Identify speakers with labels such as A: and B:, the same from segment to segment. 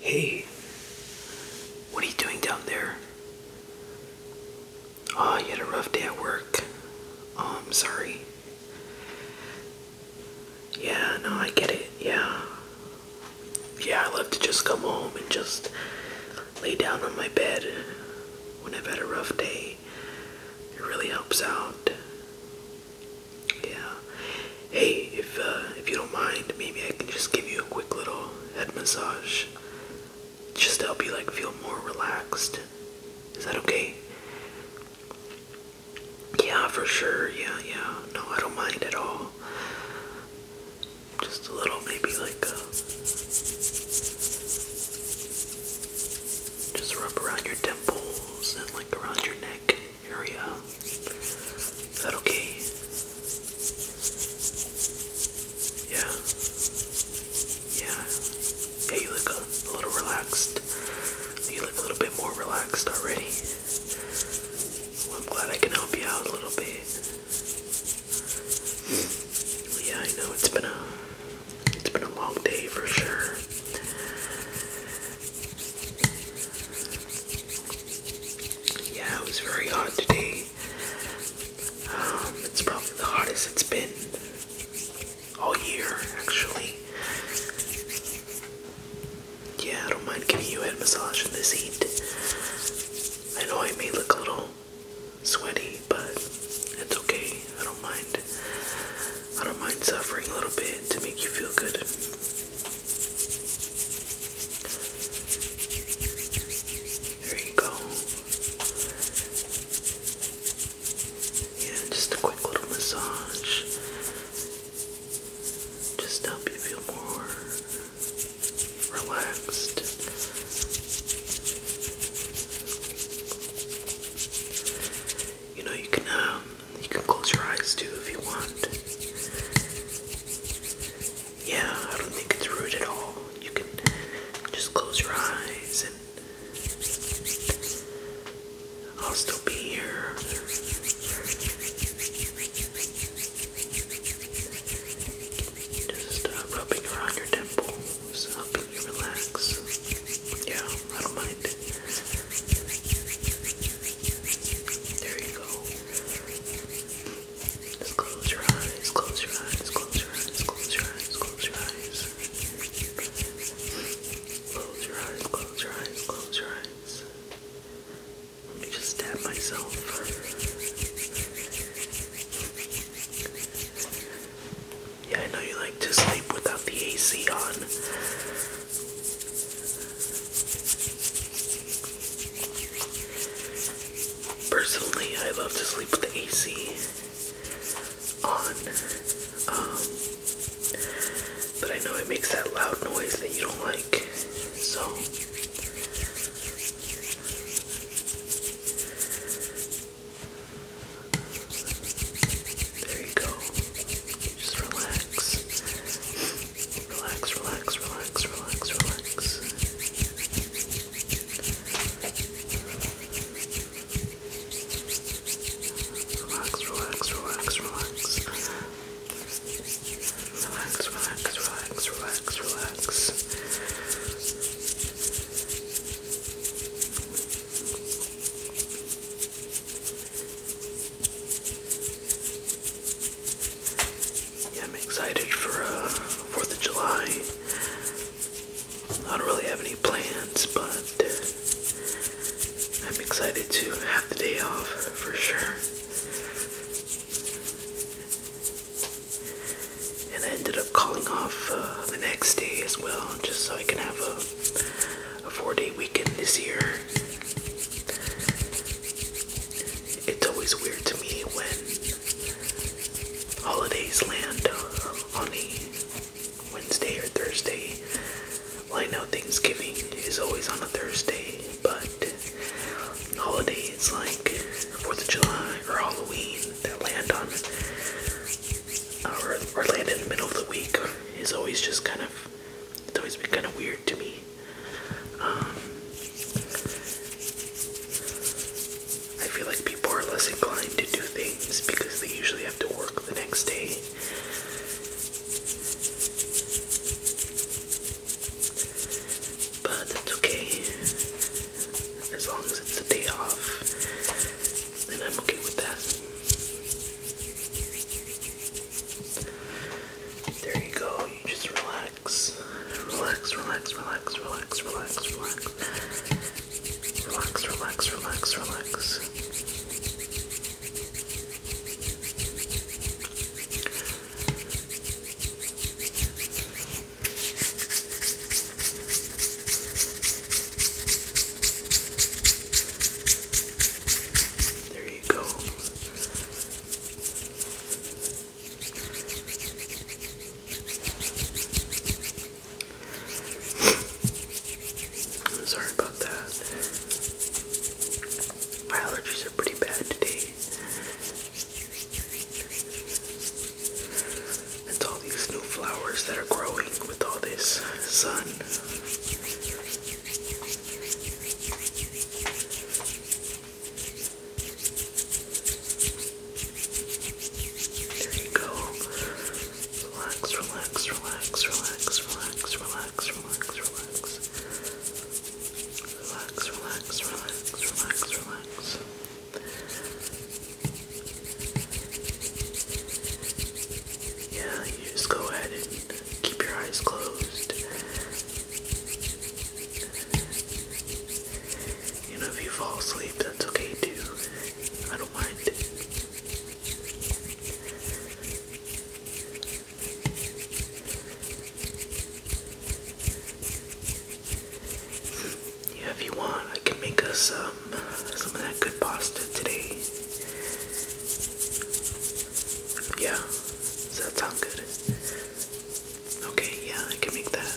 A: Hey, what are you doing down there? Oh, you had a rough day at work. Oh, I'm um, sorry. Yeah, no, I get it. Yeah. Yeah, I love to just come home and just lay down on my bed when I've had a rough day. It really helps out. Yeah. Hey, if uh, if you don't mind, maybe I can just give you a quick little head massage, just to help you like feel more relaxed. Is that okay? Yeah, for sure. Yeah, yeah. No, I don't mind at all. Just a little, maybe like a. Uh, just rub around your temples and like around your neck area. Is that okay? Yeah. Yeah. Yeah, you look a, little relaxed. You look a little bit more relaxed already. I'm glad I can help you out a little bit. Yeah, I know it's been a it's been a long day for sure. Yeah, it was very hot today. Um, it's probably the hottest it's been all year, actually. Yeah, I don't mind giving you a head massage in the heat. I know I may look a little sweaty, but it's okay. I don't mind. I don't mind suffering a little bit to make you feel good. There you go. Yeah, just a quick little massage. Just help you feel more relaxed you know you can um, you can close your eyes too if you want. Yeah, I don't think it's rude at all. You can just close your eyes and I'll still be here. Just uh, rubbing around your temples, helping you relax. Yeah, I don't mind. There you go. Just close your eyes, close your eyes, close your eyes, close your eyes, close your eyes. Close your eyes, close your eyes, close your eyes. Let me just tap myself. Yeah, I know you like to sleep without the AC on. Personally, I love to sleep with the AC on. Um, but I know it makes that loud noise that you don't like. So. There you go. Just relax. Relax, relax, relax, relax, relax. Relax, relax, relax, relax. Relax, relax, relax, relax, relax. I'm excited for uh, Fourth of July. I don't really have any plans, but uh, I'm excited to have the day off for sure. And I ended calling off uh, the next day as well, just so I can have a, a four day weekend this year. It's always weird to me when holidays land uh, on a Wednesday or Thursday. Well, I know Thanksgiving is always on a Thursday, but holidays like Fourth of July or Halloween that land on or, land in the middle of the week is always just kind of, it's always been kind of weird to me. Um, I feel like people are less inclined to do things because they usually have to work the next day. But that's okay. As long as it's a day off, then I'm okay with that. There you go. You just relax. Relax, relax, relax, relax, relax, relax. Relax, relax, relax, relax. There you go. I'm sorry about that. My allergies are pretty bad today. It's all these new flowers that are growing with all this sun. There you go. Relax, relax, relax, relax, relax, relax, relax, relax. Relax, relax, relax, relax, relax. Yeah, you just go ahead and keep your eyes closed. You know, if you fall asleep, that's okay too. I don't mind. Yeah, if you want, I can make us um, some of that good pasta today. Yeah, does that sound good? Okay, yeah, I can make that.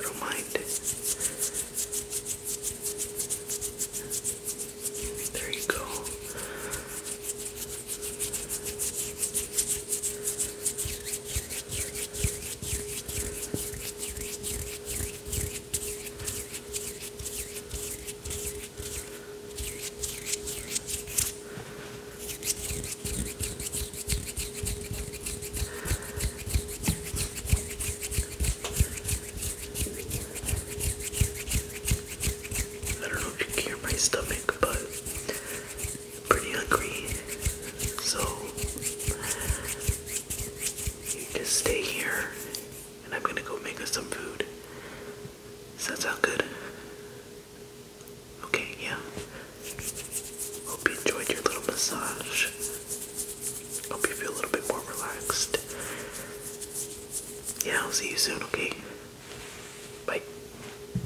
A: I don't mind. There you go. I don't know if you can hear my stomach, but pretty hungry, so you just stay here and I'm gonna go make us some food. Sounds that good? Okay, yeah. Hope you enjoyed your little massage. Hope you feel a little bit more relaxed. Yeah, I'll see you soon, okay? Bye.